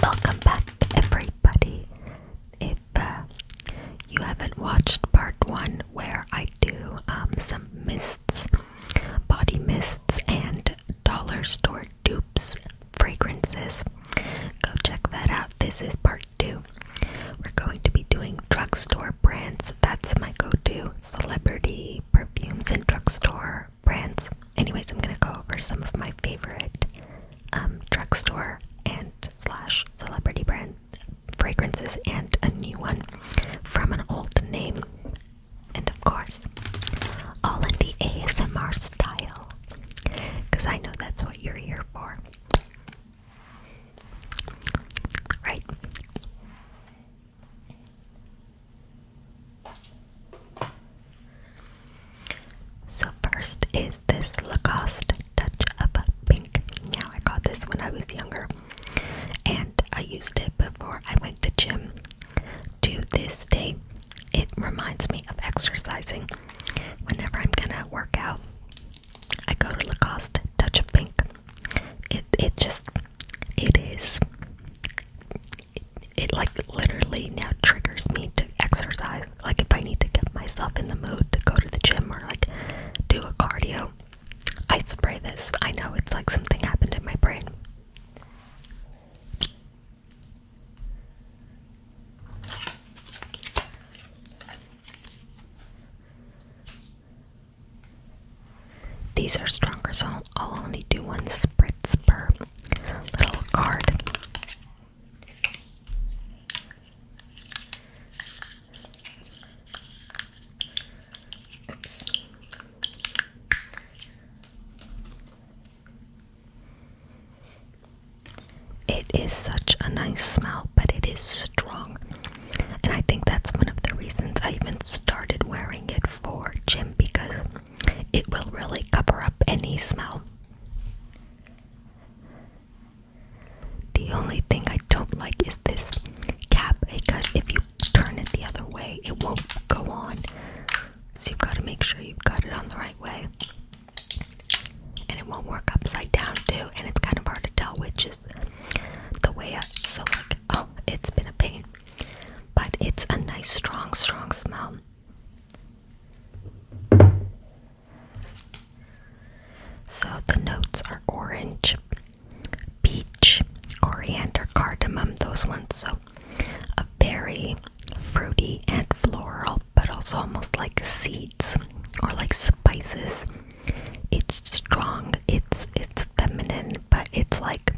Welcome back, everybody. If uh, you haven't watched part one, where I do um, some mists, body mists, and dollar store dupes fragrances, go check that out. This is part two. We're going to be doing drugstore brands. That's my go to celebrity perfumes and drugstore brands. Anyways, I'm gonna go over some of my favorite um, drugstore and slash celebrity brand fragrances and a new one from an old name, and of course, all in the ASMR style, because I know that's what you're here for. Right. So first is this Lacoste Touch of Pink. Now I got this when I was younger and I used it before I went to gym. To this day, it reminds me of exercising. Whenever I'm gonna work out, I go to Lacoste Touch of Pink. It it just it is it, like literally now triggers me to exercise. Like if I need to get myself in the mood to go to the gym or like do a cardio, I spray this. I know it's like something happened in my brain. These are stronger, so I'll only do one spritz per little card. Oops. It is such a nice smell, but it is strong. And I think that's one of the reasons I even started wearing it for Jim because it will really cover up any smell. The only thing I don't like is this cap because if you turn it the other way, it won't go on. So you've got to make sure you've got it on the right way. And it won't work upside down too, and it's kind of hard to tell which is the way up. So like, oh, it's been a pain. But it's a nice, strong, strong smell. So the notes are orange, peach, coriander, cardamom, those ones. So a very fruity and floral, but also almost like seeds or like spices. It's strong, it's it's feminine, but it's like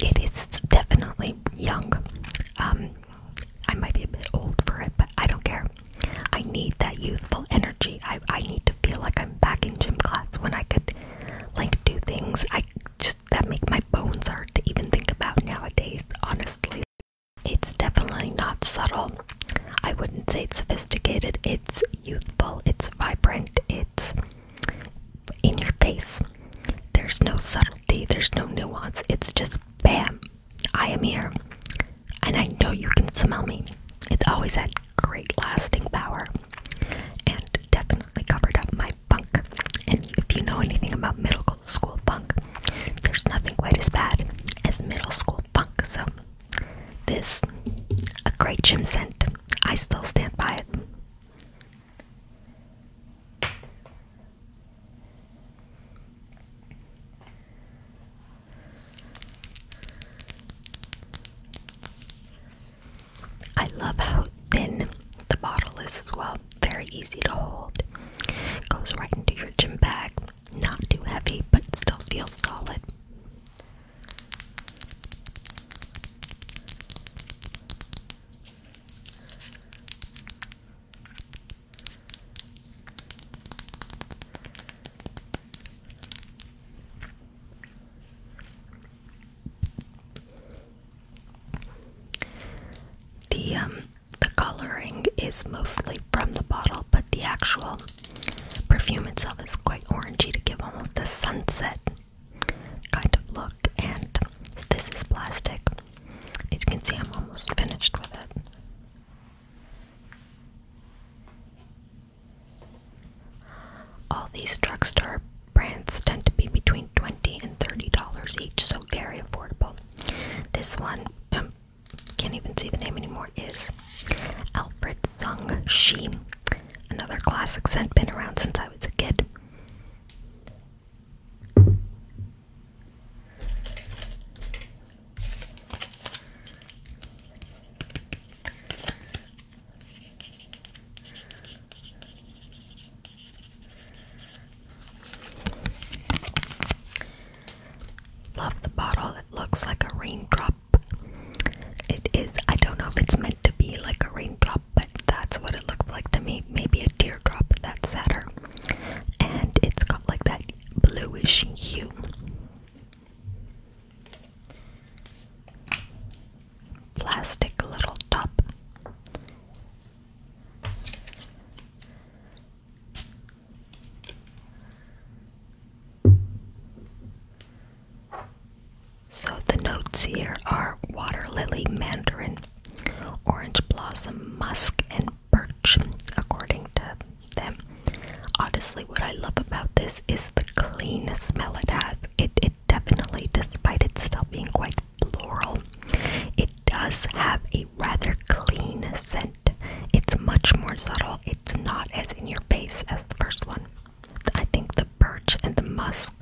it is definitely young. Um, I might be a bit old for it, but I don't care. I need that youthful energy. I, I need to feel like I'm back in gym class when I could like do things I just that make my bones hard to even think about nowadays, honestly. It's definitely not subtle. I wouldn't say it's sophisticated. It's youthful, it's vibrant, it's in your face. There's no subtle subtlety, there's no nuance. It's just bam, I am here. And I know you can smell me. It's always had great lasting power and definitely covered up my bunk. And if you know anything about middle school bunk, there's nothing quite as bad as middle school bunk. So, this, a great gym scent. I still stand by it. I love how thin the bottle is as well. Very easy to hold. Goes right into your gym bag. Not too heavy, but still feels solid. The um, the coloring is mostly from the bottle, but the actual perfume itself is quite orangey to give almost a sunset kind of look, and this is plastic. As you can see, I'm almost finished with it. All these drugstore brands tend to be between $20 and $30 each, so very affordable. This one, um, can't even see the name anymore, is Alfred Sung Shi. Another classic scent, been around since I was a kid. Love the bottle, it looks like a raindrop. It is, I don't know if it's meant to be like a raindrop but that's what it looks like to me. Maybe a teardrop, that's sadder. And it's got like that bluish hue. Plastic little top. So the notes here are water lily, mandarin, orange blossom, musk, and birch, according to them. Honestly, what I love about this is the clean smell it has. It, it definitely, despite it still being quite floral, it does have a rather clean scent. It's much more subtle. It's not as in your face as the first one. I think the birch and the musk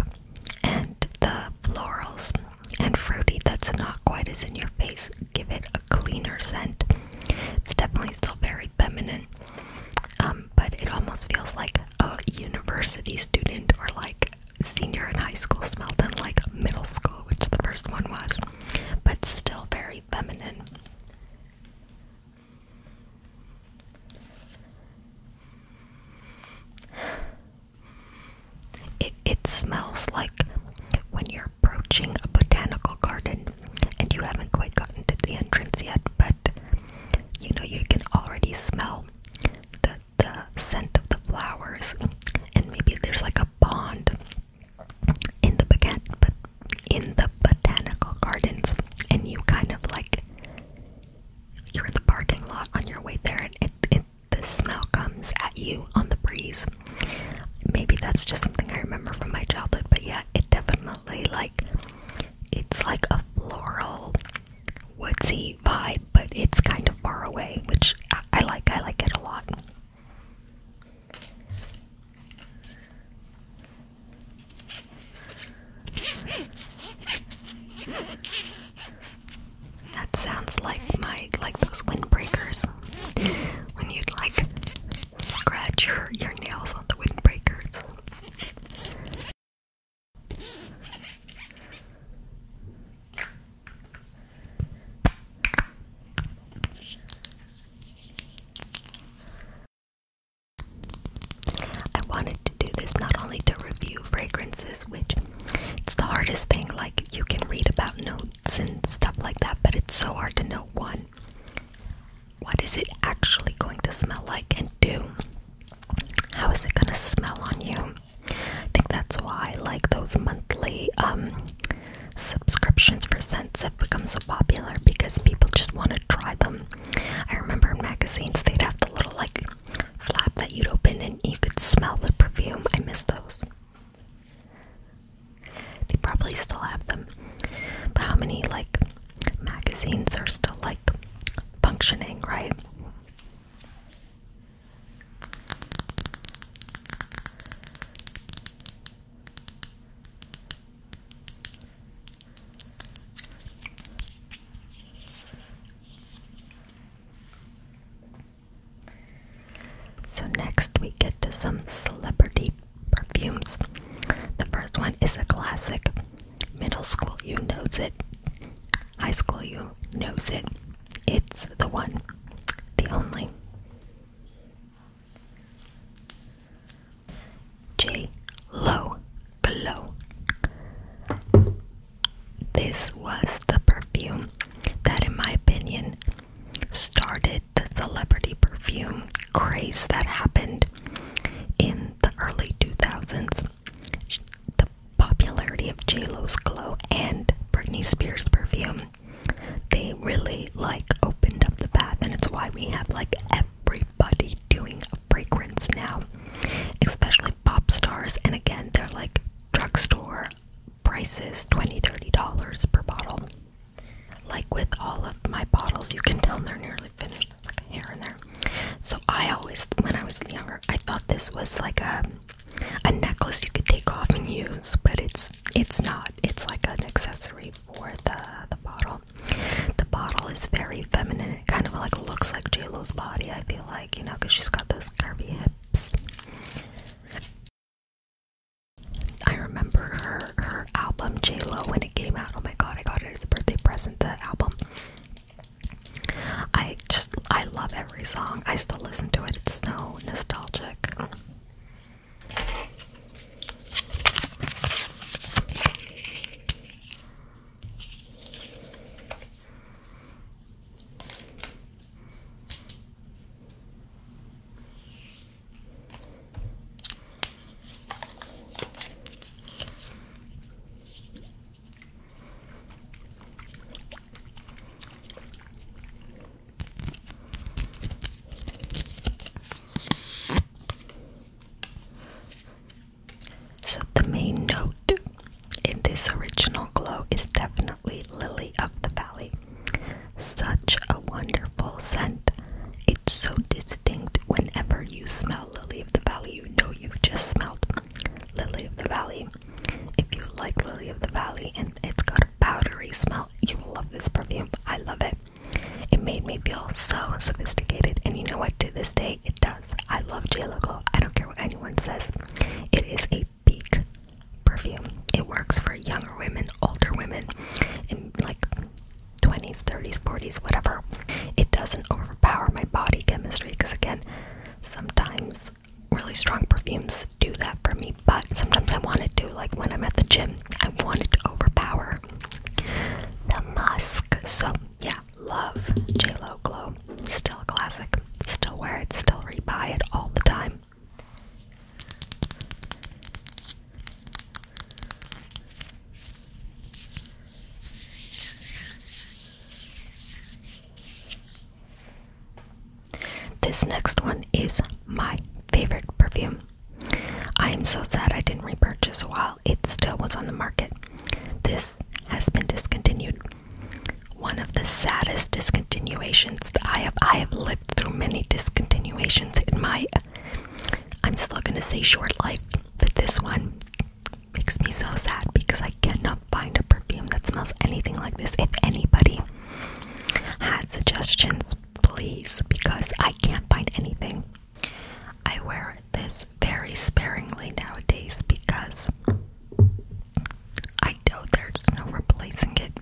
and the florals and fruity that's not quite as in your face give it a cleaner scent. It's definitely still very feminine, um, but it almost feels like a university student or like senior in high school smell than like middle school, which the first one was, but still very feminine. It, it smells like when you're approaching a botanical garden and you haven't quite gotten to the entrance yet, but you know, you can already smell the, the scent of the flowers, and maybe there's like a pond in the baguette, in the botanical gardens, and you kind of like you're in the parking lot on your way there, and it, it the smell comes at you on the breeze. Maybe that's just something I remember from my childhood, but yeah, it definitely like it's like a floral woodsy vibe, but it's kind of far away, which I, like. I like it a lot. That sounds like my like those windbreakers when you like scratch your your nails on the windbreakers. I wanted to do this not only to review fragrances, which it's the hardest thing. Like, you can read about notes and stuff like that, but it's so hard to know one, what is it actually going to smell like, and do? how is it going to smell on you? I think that's why, I like, those monthly um, subscriptions for scents have become so popular because people just want to try them. I remember in magazines they'd have the little, like, flap that you'd open and you could smell the perfume. I miss those. They probably still have them. But how many like magazines are still like functioning, right? So, next we get to some celebrity perfumes. The first one is a classic. Middle school, you knows it. High school, you knows it. It's the one, the only. J. Lo Glow. This was the perfume that, in my opinion, started the celebrity perfume craze that happened in the early 2000s. The popularity of JLo's Glow and Britney Spears perfume. They really like opened up the path, and it's why we have like everybody doing fragrances now, especially pop stars. And again, they're like drugstore prices $20 $30 per bottle. Like with all of my bottles, you can tell they're nearly finished, like hair in there. So I always, when I was younger, I thought this was like a a necklace you could take off and use, but it's it's not. It's like an accessory for the the bottle. The bottle is very feminine. It kind of like looks like Lo's body. I feel like you know, cause she's got those curvy hips. I remember her her album J Lo when it came out. Oh my god, I got it as a birthday present. The album. I just I love every song. I still listen to it. It's so nostalgic. So, the main note in this original glow is definitely Lily of the Valley. Such a wonderful scent. It's so distinct whenever you smell Lily of the Valley, you know you've just smelled Lily of the Valley. If you like Lily of the Valley and it's got a powdery smell, you will love this perfume. I love it. It made me feel so sophisticated, and you know what? To this day, it does. I love J Logo. I don't care what anyone says. It is a big perfume. It works for younger women, older women, in like 20s, 30s, 40s, whatever. It doesn't overpower my body chemistry because again, sometimes really strong perfumes do that for me, but sometimes I want it to, like when I'm at the gym, I want it to overpower the musk. So yeah, Love JLo Glow. Still a classic. Still wear it, still repurchase all the time. This next one is my favorite perfume. I am so sad I didn't repurchase while it still was on the market. This has been discontinued. One of the saddest discontinuations that I have I have lived through many discontinuations in my I'm still gonna say short life, but this one makes me so sad because I cannot find a perfume that smells anything like this. If anybody has suggestions, please, because I can't find anything. I wear this very sparingly nowadays because I know there's no replacing it.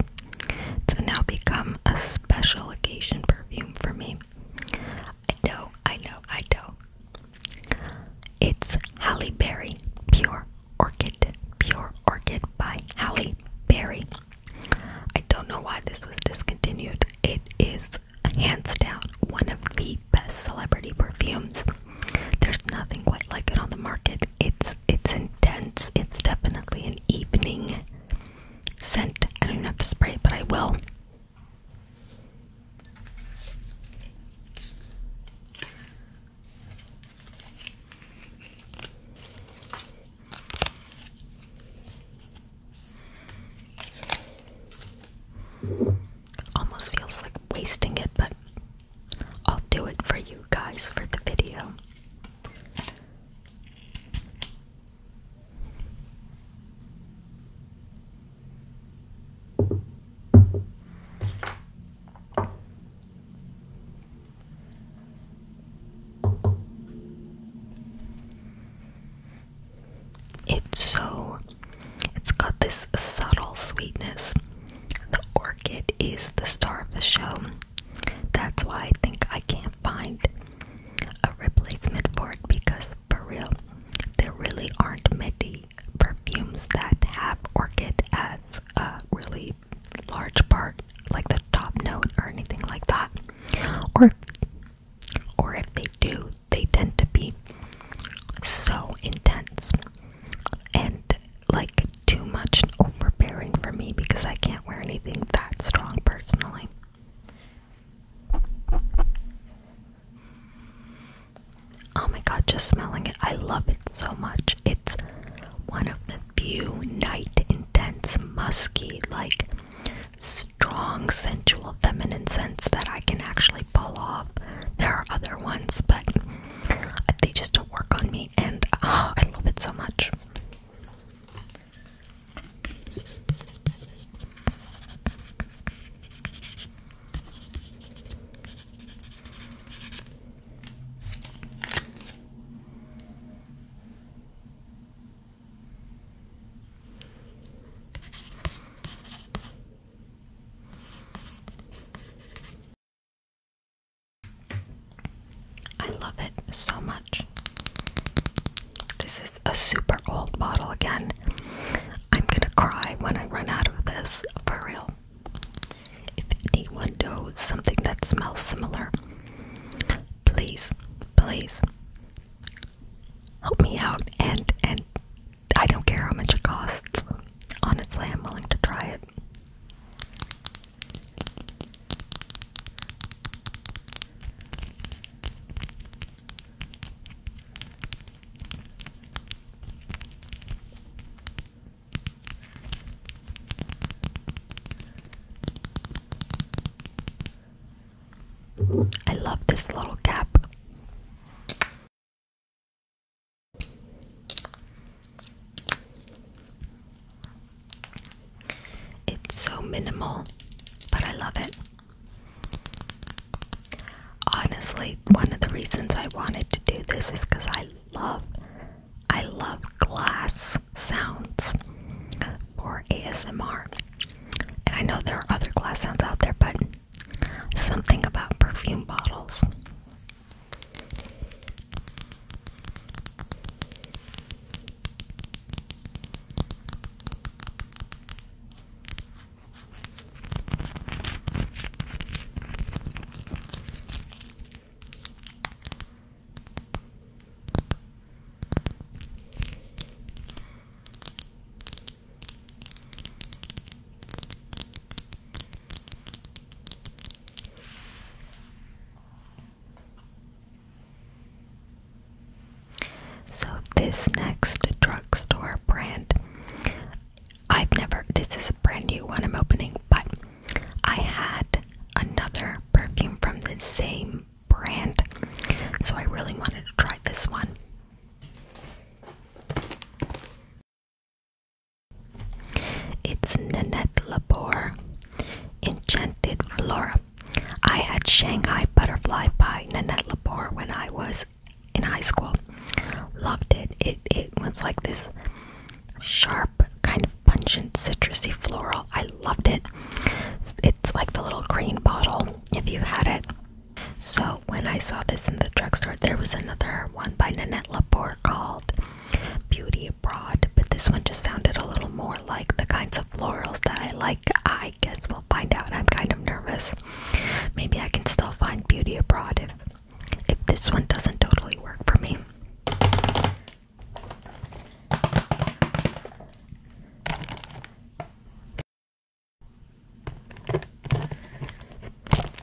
It's now become a special occasion perfume for me. I know, I know, I know. It's Halle Berry Pure Orchid. Pure Orchid by Halle Berry. I don't know why this was discontinued. It is hands down one of the best celebrity perfumes. There's nothing quite like it on the market. It's it's intense. It's definitely an evening scent. I don't even have to spray it, but I will. Almost feels like wasting it, but I'll do it for you guys for the video. It's so it's got this subtle sweetness. The orchid is the star of the show. That's why I think I can't find a replacement for it because, for real, there really aren't many perfumes that have orchid as a really large part, like the top note or anything like that. Or, or if they do, they tend to be so intense and like too much and overbearing for me because I can't wear anything that strong personally. Oh my god, just smelling it. I love it so much. It's one of the few night intense, musky, like strong, sensual, feminine scents that I can actually pull off. There are other ones, but they just don't work on me, and ah, I love it so much. I love it so much. This is a super old bottle again. I'm gonna cry when I run out of this, for real. If anyone knows something that smells similar, please, please help me out and and I don't care how much it costs. Honestly, I'm willing to try it. I love this little cap. It's so minimal, but I love it. Honestly, one of the reasons I wanted to do this is because I love I love glass sounds for ASMR. And I know there are other glass sounds out there, but Something about perfume bottles. So this next drugstore brand I've never this is a brand new one I'm opening but I had another perfume from the same brand so I really wanted to try this one it's Nanette Labor, Enchanted Flora. I had Shanghai Butterfly by Nanette Labor when I was in high school. Loved it. It it was like this sharp, kind of pungent, citrusy floral. I loved it. It's like the little green bottle if you had it. So when I saw this in the drugstore, there was another one by Nanette Labor called Beauty Abroad, but this one just sounded a little more like the kinds of florals that I like. I guess we'll find out. I'm kind of nervous. Maybe I can still find Beauty Abroad if if this one doesn't totally work for me.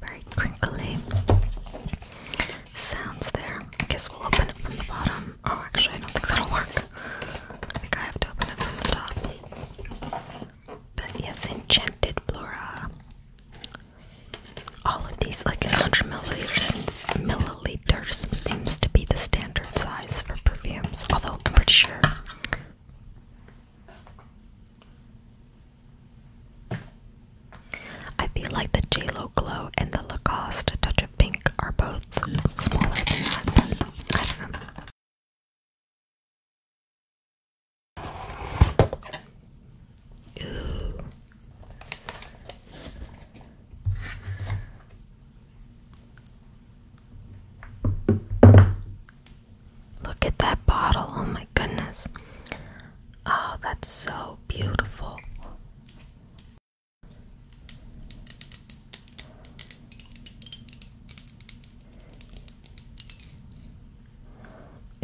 Very crinkly sounds there. I guess we'll open it from the bottom. Oh, actually, I don't think that'll work. I think I have to open it from the top. But yes, enchanted flora. All of these, like 100 milliliters, milliliters seems to be the standard size for perfumes. Although I'm pretty sure I feel like the J.Lo glow and the Lacoste touch of pink are both smaller than that, I do Look at that bottle. Oh my goodness. Oh, that's so beautiful.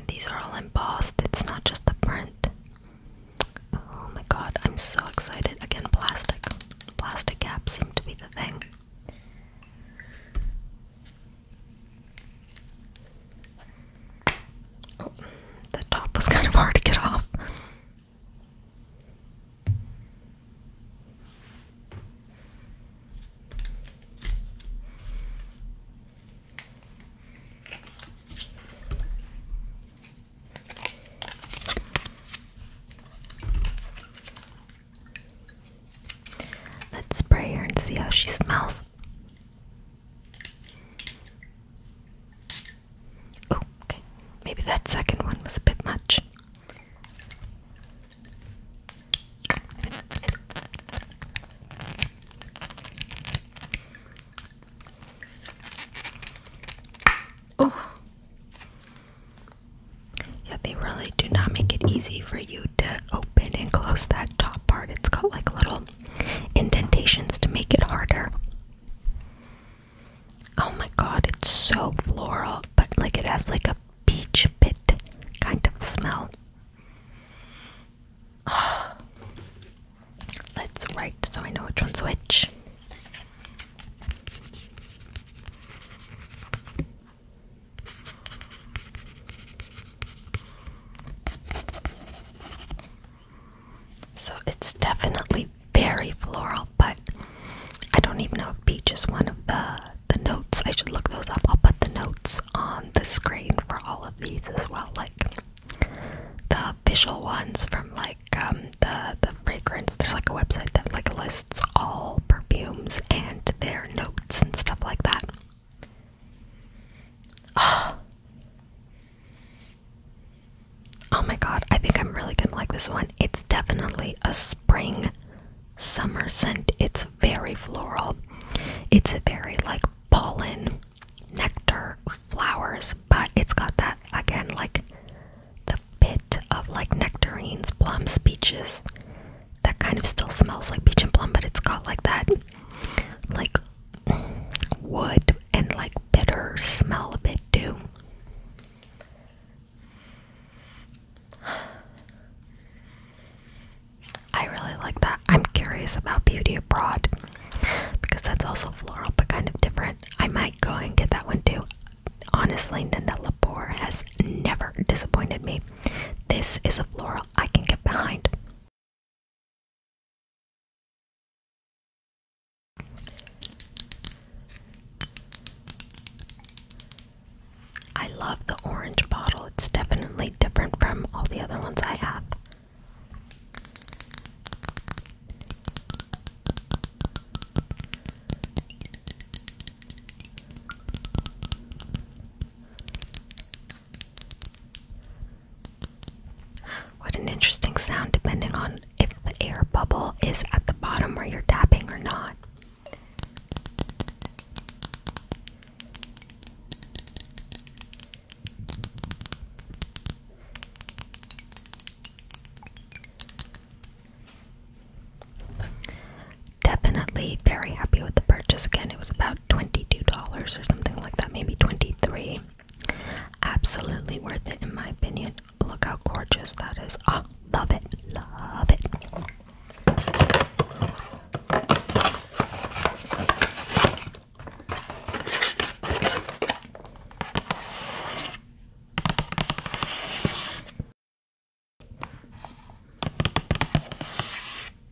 These are all embossed, it's not just the print. Oh my god, I'm so excited. Again, plastic. Plastic caps seem to be the thing. Oh, the top was kind of hard to get off. Let's spray her and see how she smells. Oh, okay. Maybe that second one was a bit much. Oh. Yeah, they really do not make it easy for you to open and close that top part. It's got like little indentations to make it harder. Oh my god, it's so floral, but like it has like a peach pit kind of smell. Oh. Let's write so I know which one's which. So it's definitely very floral, but I don't even know if peach is one of the the notes. I should look those up. I'll put the notes on the screen for all of these as well, like the official ones from like um, the the fragrance. There's like a website that like lists all perfumes and their notes and stuff like that. Oh. oh my god, I think I'm really gonna like this one. It's definitely a spring summer scent. It's very floral. It's very like pollen, nectar, flowers, but it's got that again like the bit of like nectarines, plums, peaches, that kind of still smells like peach and plum, but it's got like that like wood and like bitter smell a bit too. I really like that. I'm curious about Beauty Abroad because that's also floral but kind of different. I might go and get that one too. Honestly, Nanda Labor has never disappointed me. This is a floral I can get behind. I love the orange bottle. It's definitely different from all the other ones I have. What an interesting sound, depending on if the air bubble is at the bottom where you're tapping or not definitely very happy with the purchase. Again, it was about $22 or something like that, maybe 23 Absolutely worth it, in my opinion. Look how gorgeous that is. Oh, love it, love it.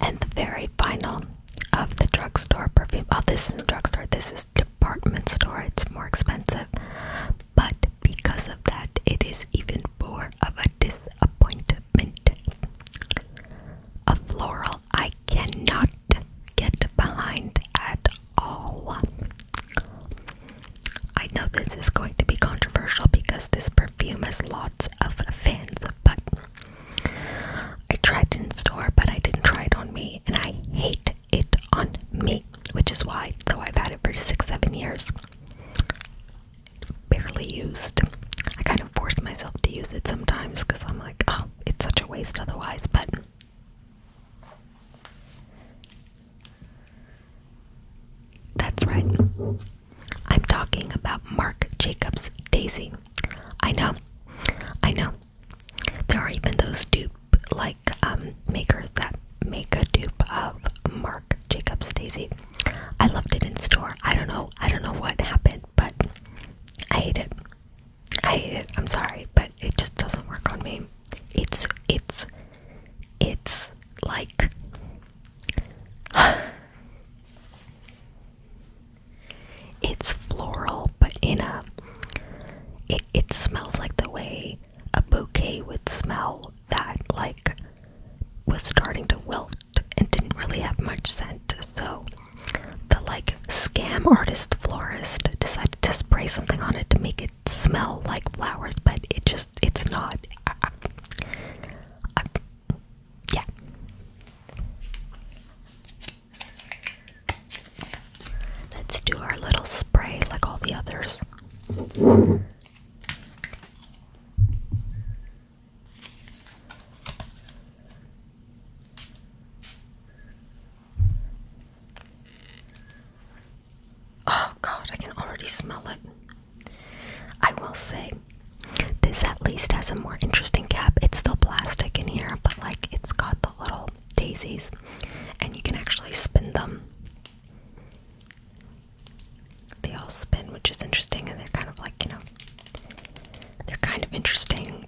And the very final of the drugstore perfume. Oh, this isn't drugstore, this is department store. It's more expensive. But because of that, it is even more of a disappointment. A floral I cannot get behind at all. I know this is going to be controversial because this perfume has lost of fans, but I tried in store, but I didn't try it on me, and I hate it on me, which is why, though I've had it for six, seven years, barely used. I kind of force myself to use it sometimes because I'm like, oh, it's such a waste otherwise, but. That's right. I'm talking about Marc Jacobs' Daisy. I know, I know. There are even those dupe-like makers that make a dupe of Marc Jacobs' Daisy. I loved it in store. I don't know. I don't know what happened, but I hate it. I hate it. I'm sorry, but it just doesn't work on me. It's it's it's like it's floral, but in a it, it smells like the way a bouquet would smell that like was starting to wilt and didn't really have much scent. So the like scam artist florist decided to spray something on it to make it smell like flowers, but it just it's not. Yeah. Let's do our little spray like all the others. Oh, God, I can already smell it. I will say, this at least has a more interesting cap. It's still plastic in here, but like it's got the little daisies, and you can actually spin them. They all spin, which is interesting, and they're kind of like, you know, they're kind of interesting.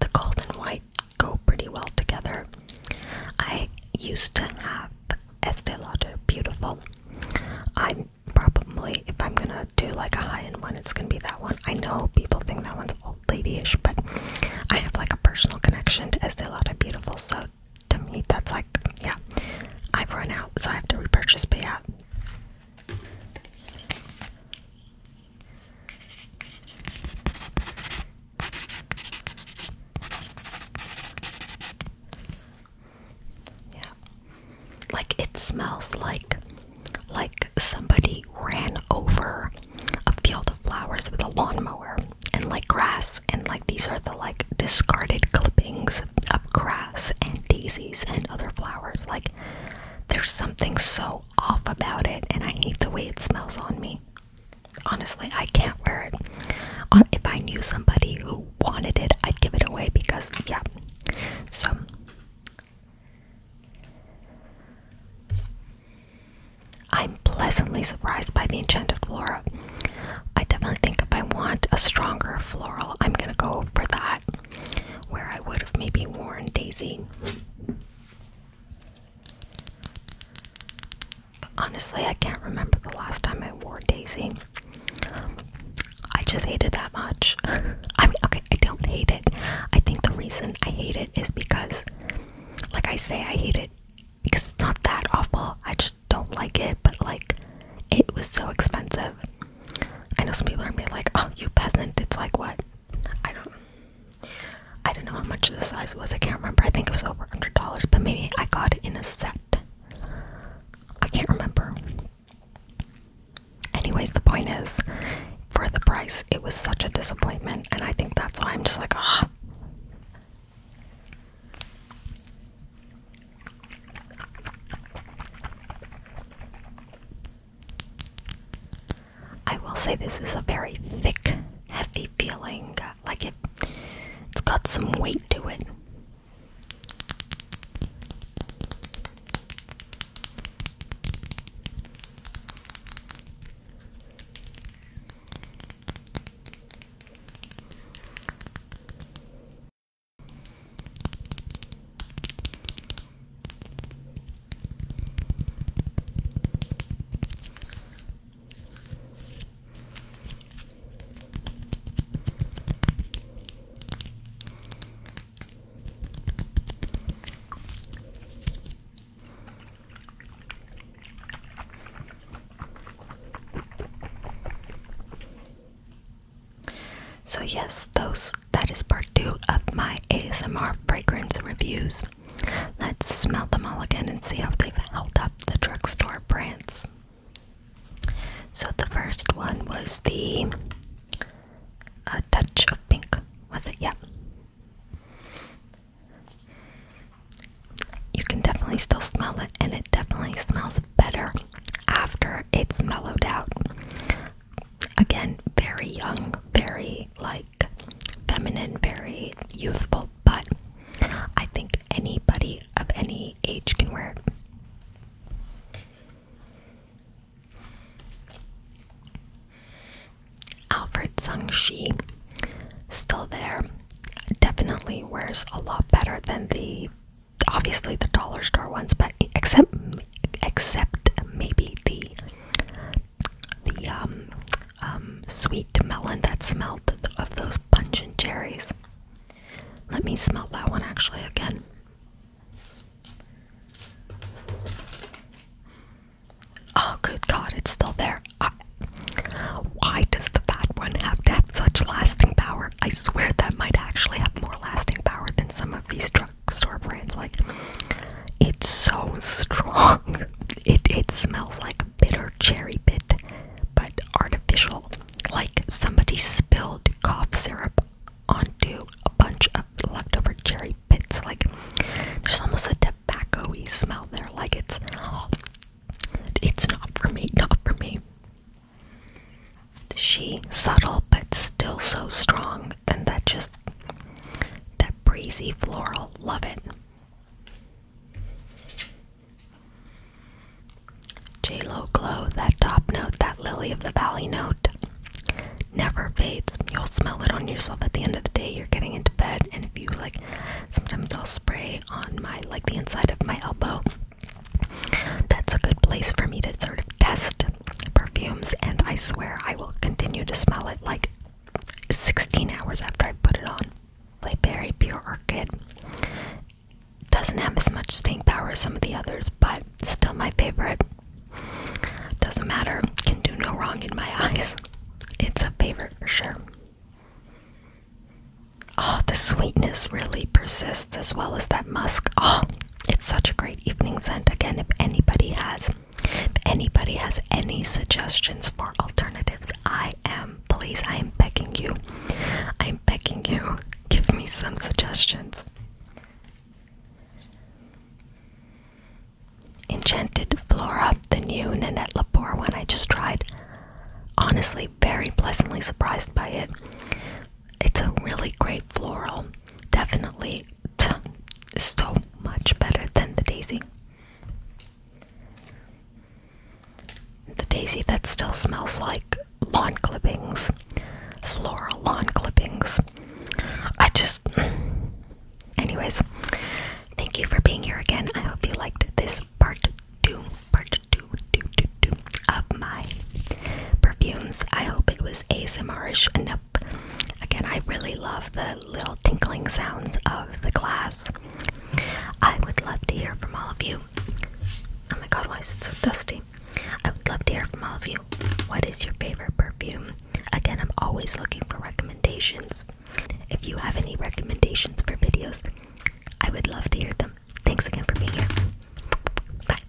The gold and white go pretty well together. I used to have Estee Lauder Beautiful. I'm probably, if I'm gonna do like a high end one, it's gonna be that one. I know people think that one's old ladyish, but I have like a personal connection to Estee Lauder Beautiful, so to me, that's like, yeah, I've run out, so I have to repurchase, but yeah. Yeah. Like it smells like like somebody ran over a field of flowers with a lawnmower and like grass and like these are the like discarded clippings of grass and daisies and other flowers. Like there's something so off about it and I hate the way it smells on me honestly, I can't wear it. if I knew somebody who wanted it, I'd give it away because, yeah. So, I'm pleasantly surprised by the enchanted flora. I definitely think if I want a stronger floral, I'm gonna go for that, where I would have maybe worn Daisy honestly, I can't remember the last time I wore Daisy. I just hate it that much. I mean, okay, I don't hate it. I think the reason I hate it is because, like I say, I hate it because it's not that awful. I just don't like it, but like, it was so expensive. I know some people are being like, oh, you peasant. It's like, what? I don't I don't know how much the size was. I can't remember. I think it was over $100, but maybe I got it in a set. I can't remember. Anyways, the point is, for the price, it was such a disappointment, and I think that's why I'm just like, ah. Oh. I will say this is a very thick, heavy feeling, like it, it's got some weight to it. So yes, those that is part two of my ASMR fragrance reviews. Let's smell them all again and see how they've held up the drugstore brands. So the first one was the uh, touch of pink, was it? Yeah. You can definitely still smell it, and it definitely smells better after it's mellowed out. Again, very young, very like feminine, very youthful, but I think anybody of any age can wear it. Alfred Sangshi, still there, definitely wears a lot better than the obviously the dollar store ones, but except except maybe the the um um sweet melon that smelled of those pungent cherries. Let me smell that one actually again. Oh, good God, it's still there. why does the bad one have have such lasting power? I swear that might actually have more lasting power than some of these drugstore brands. Like, it's so strong. It it smells like bitter cherry pit, but artificial like somebody spilled cough syrup onto a bunch of leftover cherry pits. Like there's almost a tobacco-y smell there. Like it's it's not for me, not for me. She subtle but still so strong, and that just that breezy floral, love it. J-Lo glow, that top note, that lily of the valley note never fades. You'll smell it on yourself at the end of the day. You're getting into bed, and if you like, sometimes I'll spray on my like the inside of my elbow. That's a good place for me to sort of test perfumes, and I swear I will continue to smell it like 16 hours after I put it on. Like Berry Pure Orchid doesn't have as much staying power as some of the others, but still my favorite. Doesn't matter, can do no wrong in my eyes. It's a favorite for sure. Oh, the sweetness really persists as well as that musk. Oh, it's such a great evening scent. Again, if anybody has if anybody has any suggestions for alternatives, I am please I am begging you. I'm I'm begging you, give me some suggestions. Enchanted Flora, the new Nanette Lepore one I just tried. Honestly, very pleasantly surprised by it. It's a really great floral. Definitely so much better than the daisy. The daisy that still smells like lawn clippings, floral lawn clippings. I just. Anyways, thank you for being here again. I hope you liked this part two, part two, two, two, two of my perfumes. I hope it was ASMR-ish enough. Again, I really love the little tinkling sounds of the glass. I would love to hear from all of you. Oh my god, why is it so dusty? I would love to hear from all of you. What is your favorite perfume? Again, I'm always looking for recommendations. If you have any recommendations for videos, I would love to hear them. Thanks again for being here. Bye.